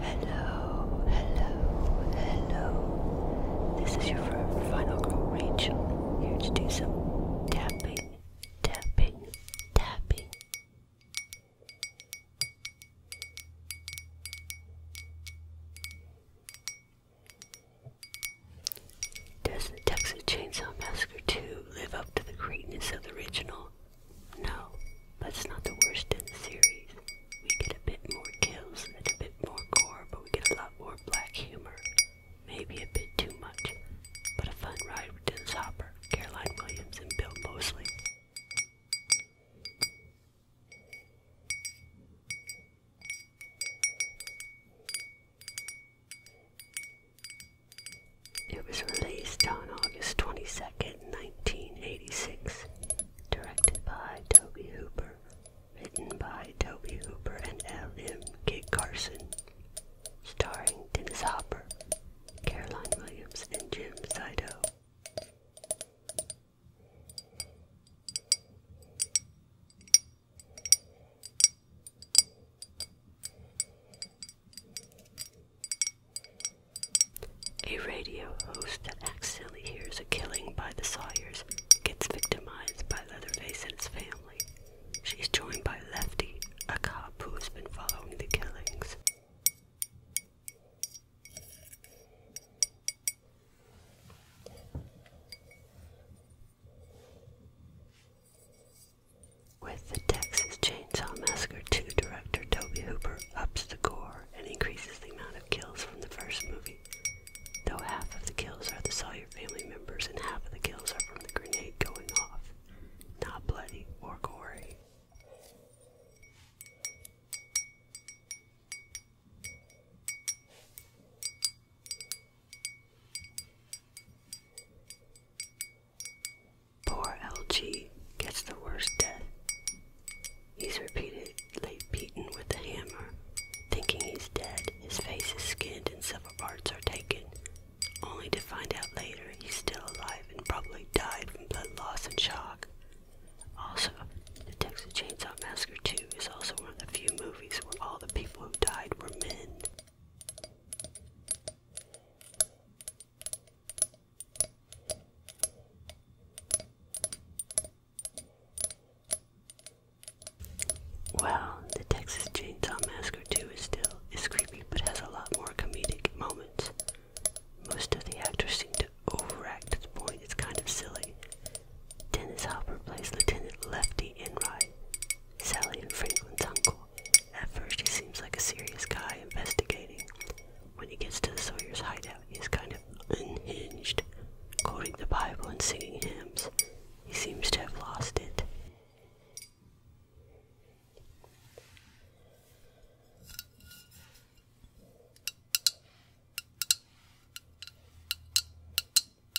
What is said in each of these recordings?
Hello, hello, hello. This is your final girl, Rachel, here to do some tapping, tapping, tapping. Does the Texas Chainsaw Massacre 2 live up to the greatness of the original? No, that's not the worst in the series. We get a bit more kills and a bit more gore, but we get a lot more black humor. Maybe a bit too much, but a fun ride with Dennis Hopper, Caroline Williams, and Bill Mosley. It was released on August twenty second, 1986, directed by Toby Hooper, written by Toby Hooper and L.M. Kit Carson, starring Dennis Hopper, Caroline Williams, and Jim Sido. A radio host that accidentally hears a killing by the Sawyers gets victimized by Leatherface and his family. She's joined by Lefty, a cop who has been following the killings. With the Texas Chainsaw Massacre 2 director Toby Hooper ups the gore and increases the amount of kills from the first movie. Though half of the kills are the Sawyer family members and half of the kills are from the grenade going off. Not bloody or gory. Poor LG gets the worst death. He's repeatedly beaten with a hammer. Thinking he's dead, his face is skinned and several parts are taken, only to find out later he's still alive and probably died from blood loss and shock. Also, the Texas Chainsaw Massacre 2 is also one of the few movies where all the people who died were men. Well, the Texas Chainsaw Massacre 2 is still is creepy but has a lot more comedic moments. Most of the actors seem to overact at the point, it's kind of silly. Dennis Hopper plays Lieutenant Lefty Enright, Sally and Franklin's uncle. At first, he seems like a serious guy investigating. When he gets to the Sawyer's hideout, he's kind of unhinged, quoting the Bible and singing hymns. He seems to have lost it.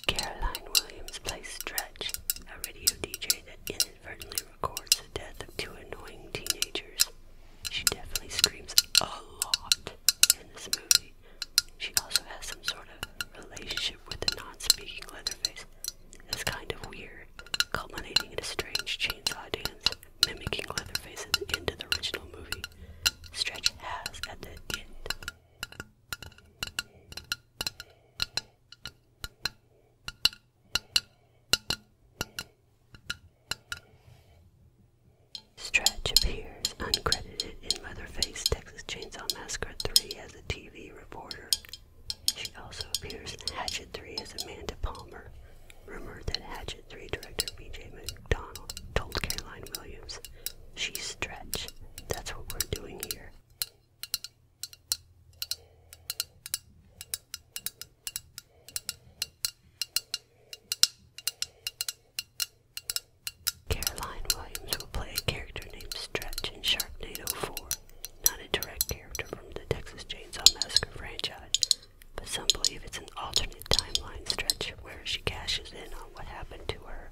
Caroline Williams plays Stretch, a radio DJ that inadvertently records the death of two annoying teenagers. She definitely screams a lot in this movie. She also has some sort of relationship with the non speaking Leatherface. It's kind of weird, culminating in a strange chainsaw dance mimicking Leatherface at the end of the original movie. Stretch has at the end. Stretch appears uncredited in Leatherface Texas Chainsaw Massacre 3 as a TV reporter. She also appears in Hatchet 3 as Amanda Palmer. Rumored that Hatchet 3 director B.J. MacDonald told Caroline Williams. She's stretch. That's what we're doing here. Caroline Williams will play a character named Stretch in Sharknado 4, not a direct character from the Texas Chainsaw Massacre franchise, but some believe it's an alternate timeline stretch where she cashes in on what happened to her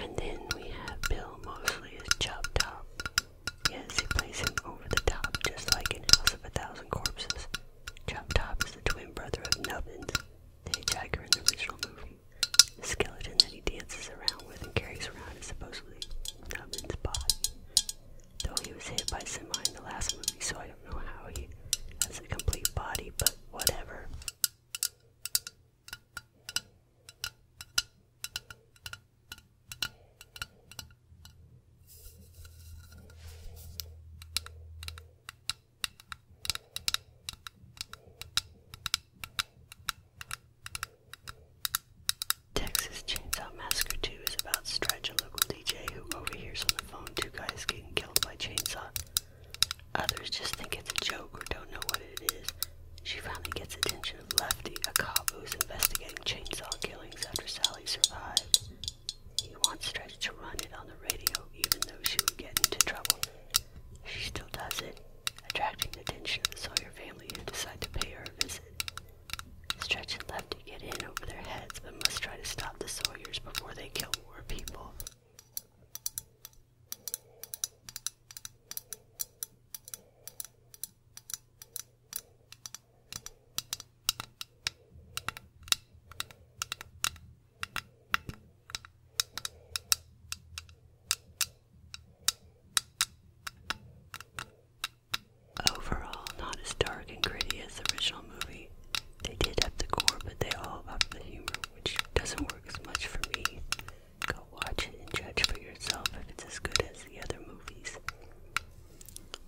and then we have Bill Mosley as Chop Top. Yes, he plays him over the top, just like in House of a Thousand Corpses. Chop Top is the twin brother of Nubbins, the in the original movie. The skeleton that he dances around with and carries around is supposedly not Nubman's body. Though he was hit by semi in the last movie, so I don't know how he has a complete body, but whatever. Texas Chainsaw Massacre 2 is about Stretch, a local DJ who overhears on the phone two guys getting killed by chainsaw. Others just think it's a joke or don't know what it is. She finally gets attention of Lefty, a cop who is investigating chainsaw killings after Sally survived. He wants Stretch to run it on the radio, even though she would get into trouble. She still does it, attracting the attention of the Sawyer family who decide to pay her a visit. Stretch and Lefty get in over their heads, but must try to stop the Sawyers before they kill more people. Overall, not as dark and gritty as the original movie. They did have the core, but they all up the humor, which doesn't work as much for me. Go watch it and judge for yourself if it's as good as the other movies.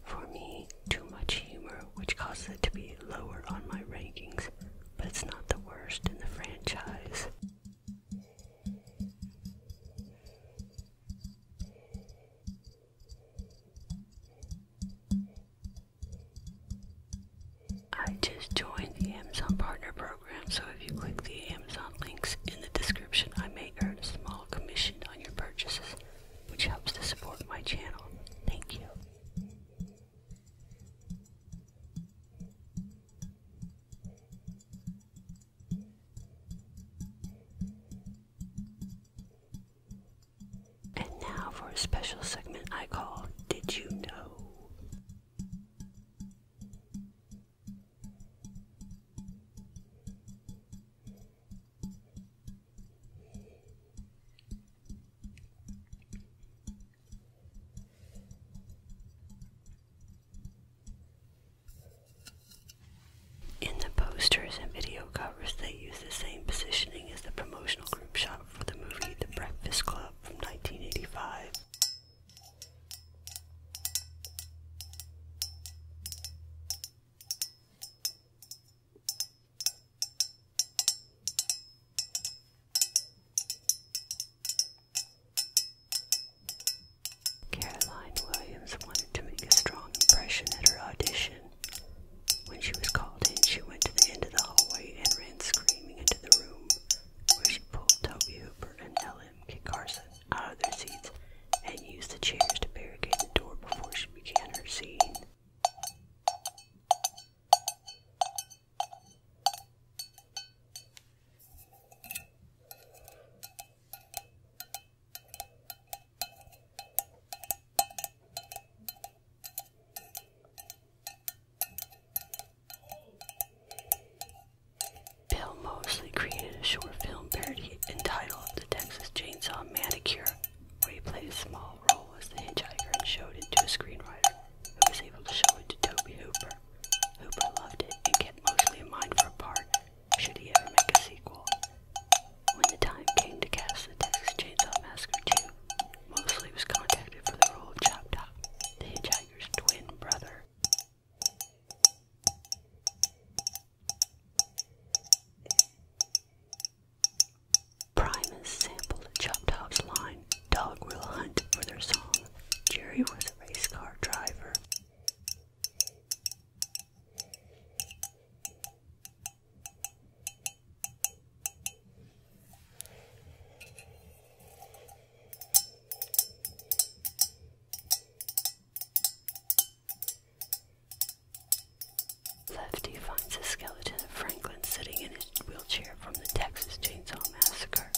For me, too much humor, which causes it to be lower on my rankings, but it's not the worst in the franchise. I just joined the Amazon Partner Program, so if you click the Amazon links in the description, I may earn a small commission on your purchases which helps to support my channel. Thank you. And now for a special segment I call Did You Know? In the posters and video covers, they use the same positioning as the promotional group shot for the movie The Breakfast Club from 1985. Caroline Williams wanted to make a strong impression at her audition. When she was called in, she went to the end of the hallway and ran screaming into the room, where she pulled Toby Hooper and Ella him Carson out of their seats and used the chairs to barricade the door before she began her scene. Bill Mosley created a short film parody entitled The Texas Chainsaw Manicure, where he played a small role as the hitchhiker and showed it to a screenwriter who was able to show it to Toby Hooper. Hooper loved it and kept Mosley in mind for a part should he ever make a sequel. When the time came to cast The Texas Chainsaw Massacre 2, Mosley was contacted for the role of Chop Top, the hitchhiker's twin brother. Primus sampled a Chop Top's line, Dog Will Hunt, for their song. Jerry was a race car driver. Lefty finds a skeleton of Franklin sitting in his wheelchair from the Texas Chainsaw Massacre.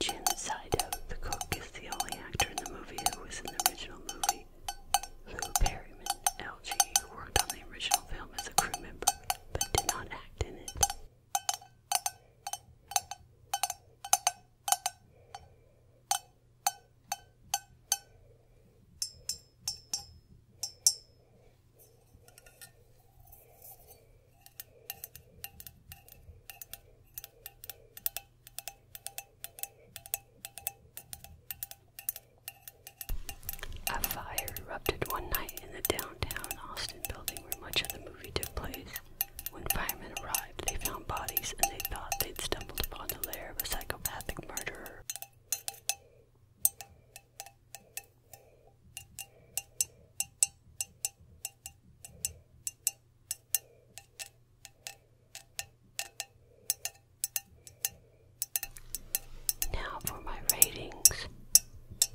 Jim Sido, the cook, is the only actor in the movie who was in the original movie. Lou Perryman, LG, worked on the original film as a crew member, but did not act in it. A fire erupted one night in the downtown Austin building where much of the movie took place. When firemen arrived, they found bodies and they thought they'd stumbled upon the lair of a psychopathic murderer. Now for my ratings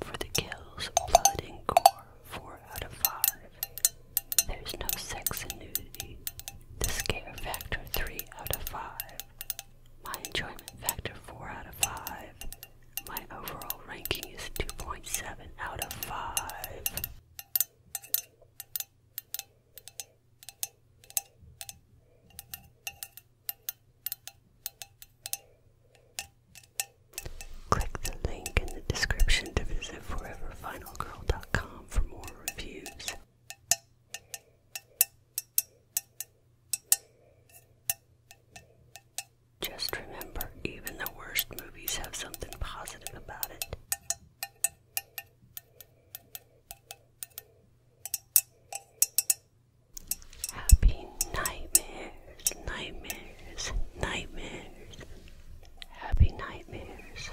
for the kills blood and gore, 4 out of 5. There's no sex and nudity. The scare factor, 3 out of 5. My enjoyment factor 4 out of 5. My overall ranking is 2.7 out of 5. Click the link in the description to visit foreverfinalgirl.com for more reviews. Just remember, even the worst movies have something positive about it. Happy nightmares, nightmares, nightmares, happy nightmares.